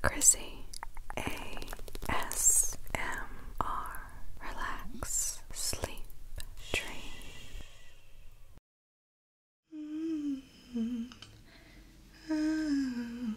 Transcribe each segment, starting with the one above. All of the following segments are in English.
Chrissy ASMR Relax Sleep Dream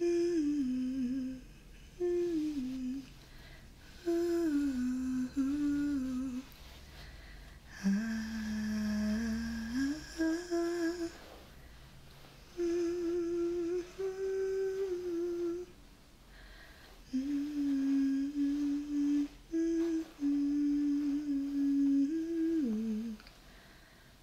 Mm -hmm. Ooh. -hmm. -hmm.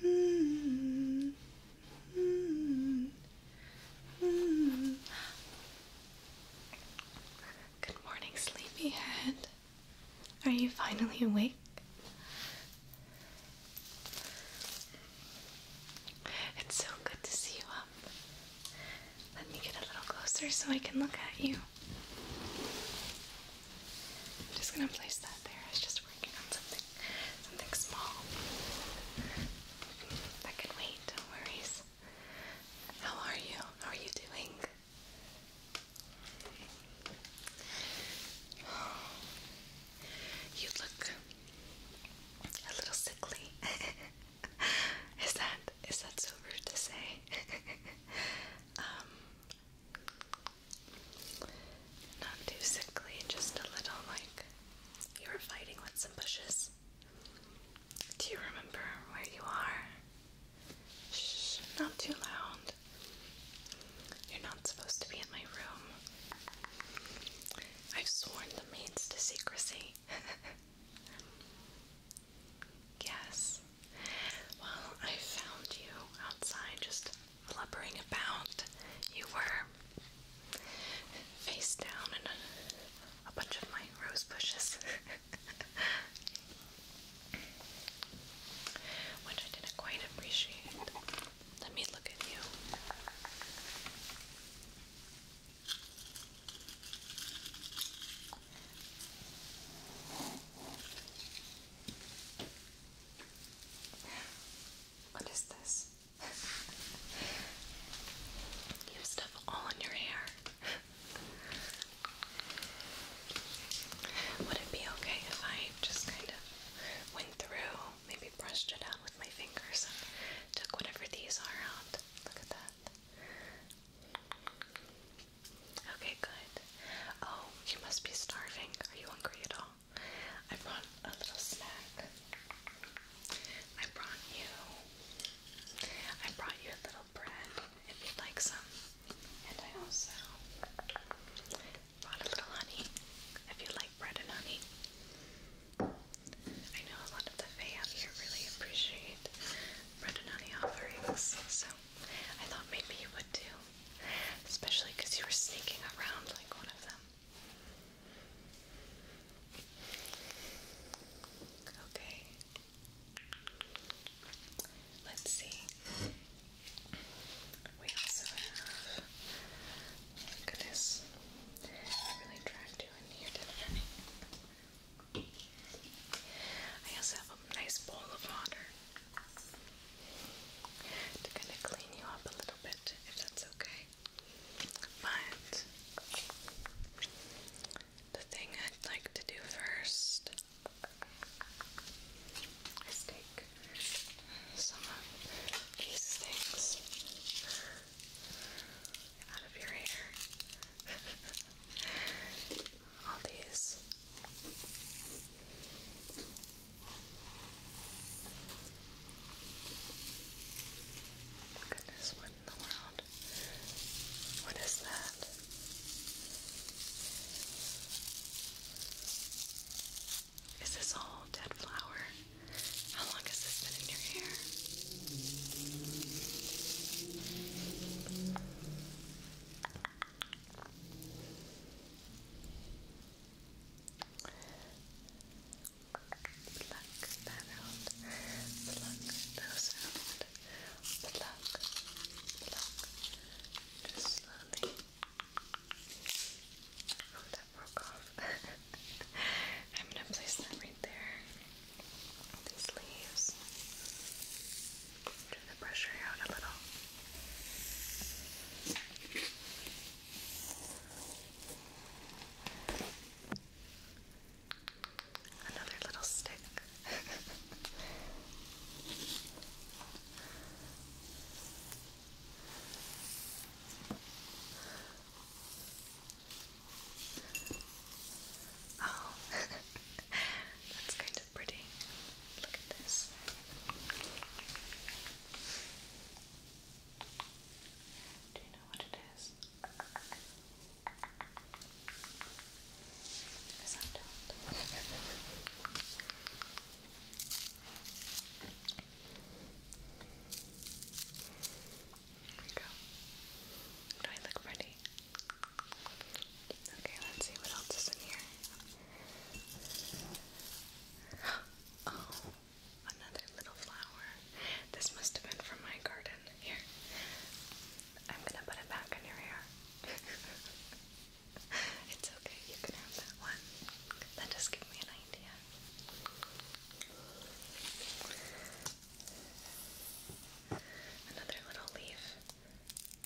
Good morning, sleepyhead. Are you finally awake? It's so good to see you up. Let me get a little closer so I can look at you. just gonna place that there something, small. I can wait, worries. How are you? How are you doing? You look a little sickly. is that is that so rude to say? um, not too sickly, just a little like you were fighting with some bushes. Do you remember where you are? Shh, not too loud. You're not supposed to be in my room. I've sworn the maids to secrecy. yes. Well, I found you outside just blubbering about. You were face down in a, a bunch of my rose bushes, which I didn't quite appreciate. Let me look at you. What is this? you have stuff all in your hair. Would it be okay if I just kind of went through, maybe brushed it out with my fingers took whatever these are out? Look at that. Okay, good. Oh, you must be starving. Are you hungry at all? I brought a little snack. I brought you. I brought you a little bread if you like some, and I also brought a little honey if you like bread and honey. I know a lot of the Fae out here really appreciate bread and honey offerings, so I thought maybe you would too. Especially because you were sneaking around like one of them. Okay. Let's see. We also have. Look oh I really dragged you in here, I also have a nice bowl of water to kind of clean you up a little bit, if that's okay. But the thing I'd like to do first is take some of these things out of your hair. All these. Goodness, what in the world? What is that? Is this all dead flower? How long has this been in your hair? Pluck that out. Pluck those out. Pluck. Pluck. Just slowly. Oh, that broke off. I'm gonna place that right there. These leaves. Turn the pressure out a little. Another little stick. oh, that's kind pretty. Look at this. Do you know what it is? I don't. Do I look pretty? Okay, let's see what else is in here. Oh, another little flower. This must have been from my garden. Here, I'm gonna put it back in your hair. it's okay, you can have that one. That just gave me an idea. Another little leaf. Another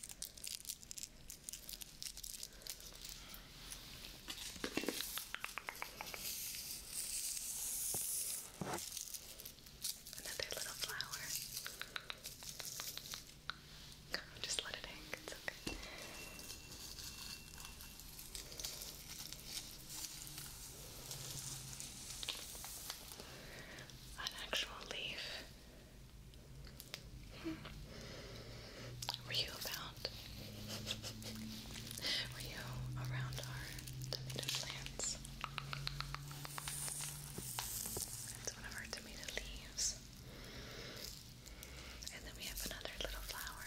little flower. just let it hang, it's okay. An actual leaf were you about? Were you around our tomato plants? That's one of our tomato leaves. And then we have another little flower.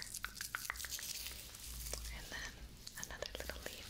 And then another little leaf.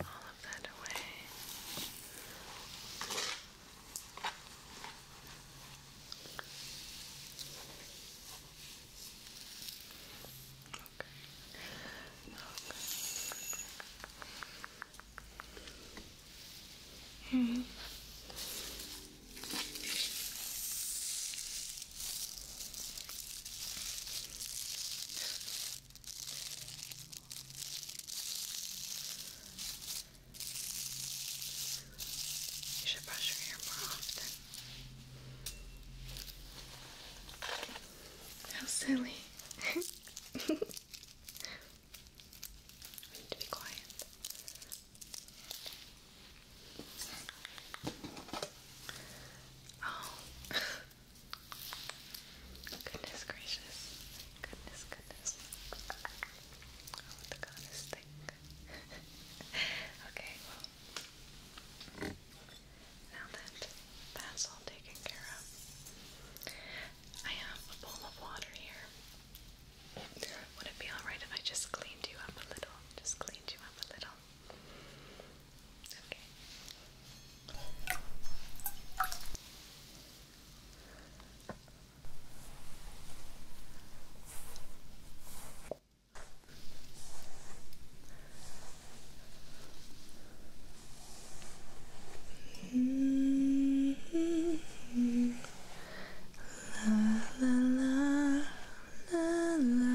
all of that away. Okay. -hmm. You should brush your hair more often. How silly. need to be quiet. Oh, Goodness gracious. Goodness, goodness. Oh, the goddess thing. okay, Now that that's all taken care of, I have a bowl of water here. Would it be alright if I just cleaned you up a little? Just cleaned you up a little. Okay. Mm -hmm. La la la la la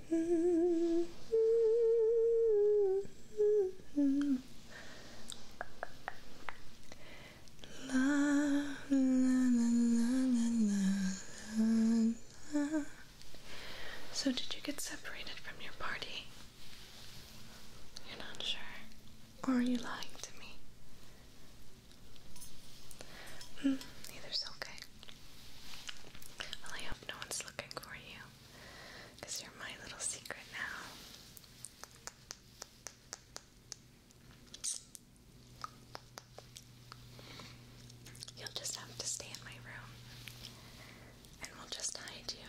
So did you get separated from your party? You're not sure, or are you lying to me? Mm, either's okay. I hope no one's looking for you you're my little secret now. You'll just have to stay in my room and we'll just hide you.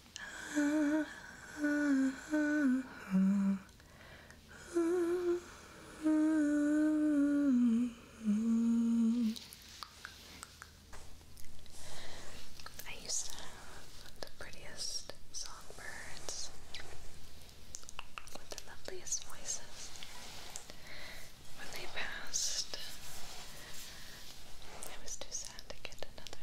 I used to have the prettiest songbirds with the loveliest voices. When they passed, I was too sad to get another.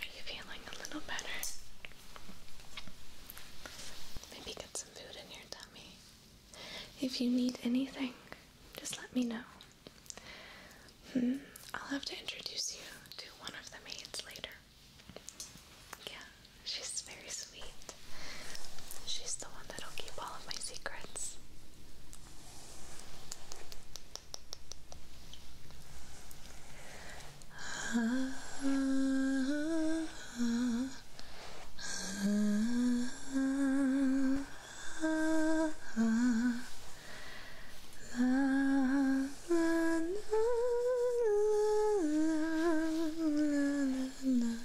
Are you feeling a little better? Maybe get some food in your tummy. If you need anything, just let me know. Hmm, I'll have to introduce you to one of the maids later. Yeah, she's very sweet. She's the one that'll keep all of my secrets.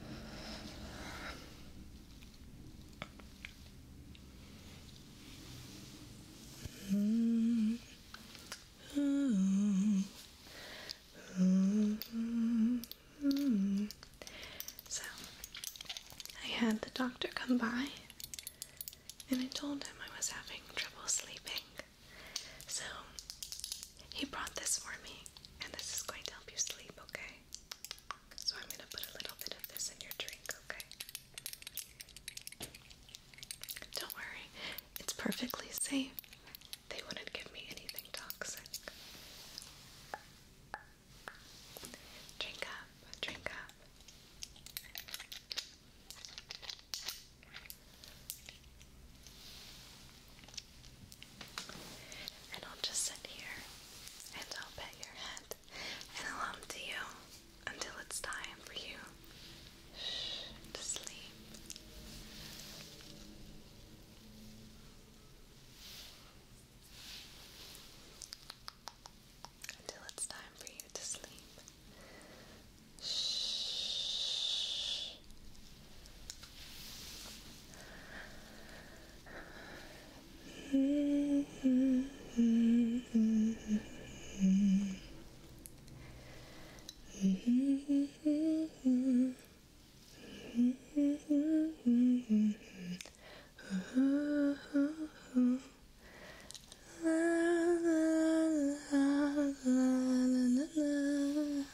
So, I had the doctor come by and I told him I was having trouble sleeping. So, he brought this for me, and this is going to help you sleep, okay? So I'm going to put a little bit of this in your drink, okay? Don't worry, it's perfectly safe. They wouldn't give me anything toxic. Drink up, drink up. And I'll just sit here and I'll pet your head and I'll hum to you until it's time for you to sleep. Until it's time for you to sleep. Shh. Mm -hmm, mm -hmm, mm -hmm. Mm -hmm. oh, oh, oh. La la la la la la la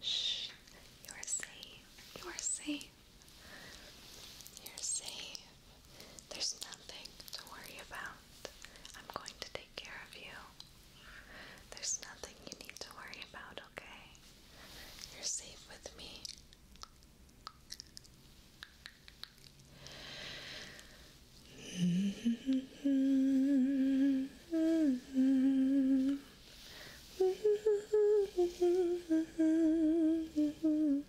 Shh. You are safe. You are safe. You're safe. There's nothing to worry about. I'm going to take care of you. There's nothing you need to worry about, okay? You're safe with me.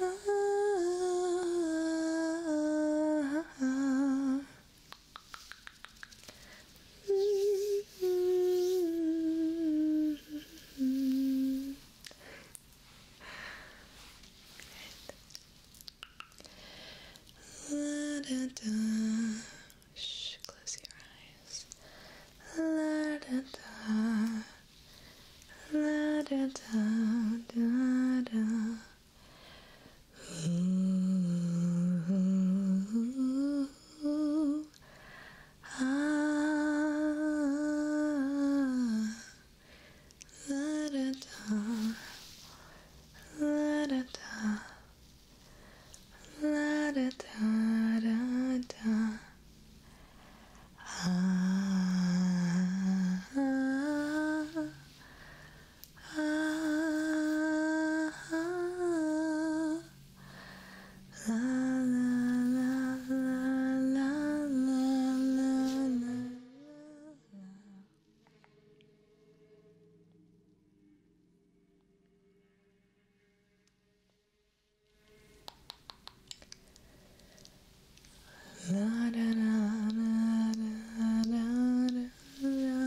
La da da. Shh, close your eyes. La da da. La da da da da. Ooh, ah, la da da, la da da, la da da da da. Ah, ah, ah, ah, la la la la la la la. La da da da da da da da.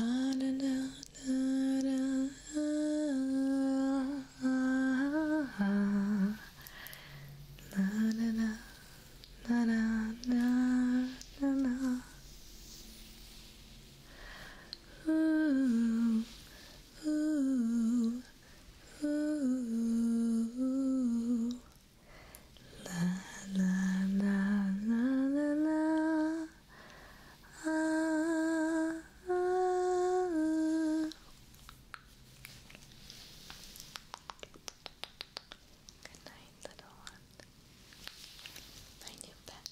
Ah, da da da da ah, La da da da da da da da. Ooh, ooh. Ooh, la la la la la la. Ah, Good night, little one. My new pet.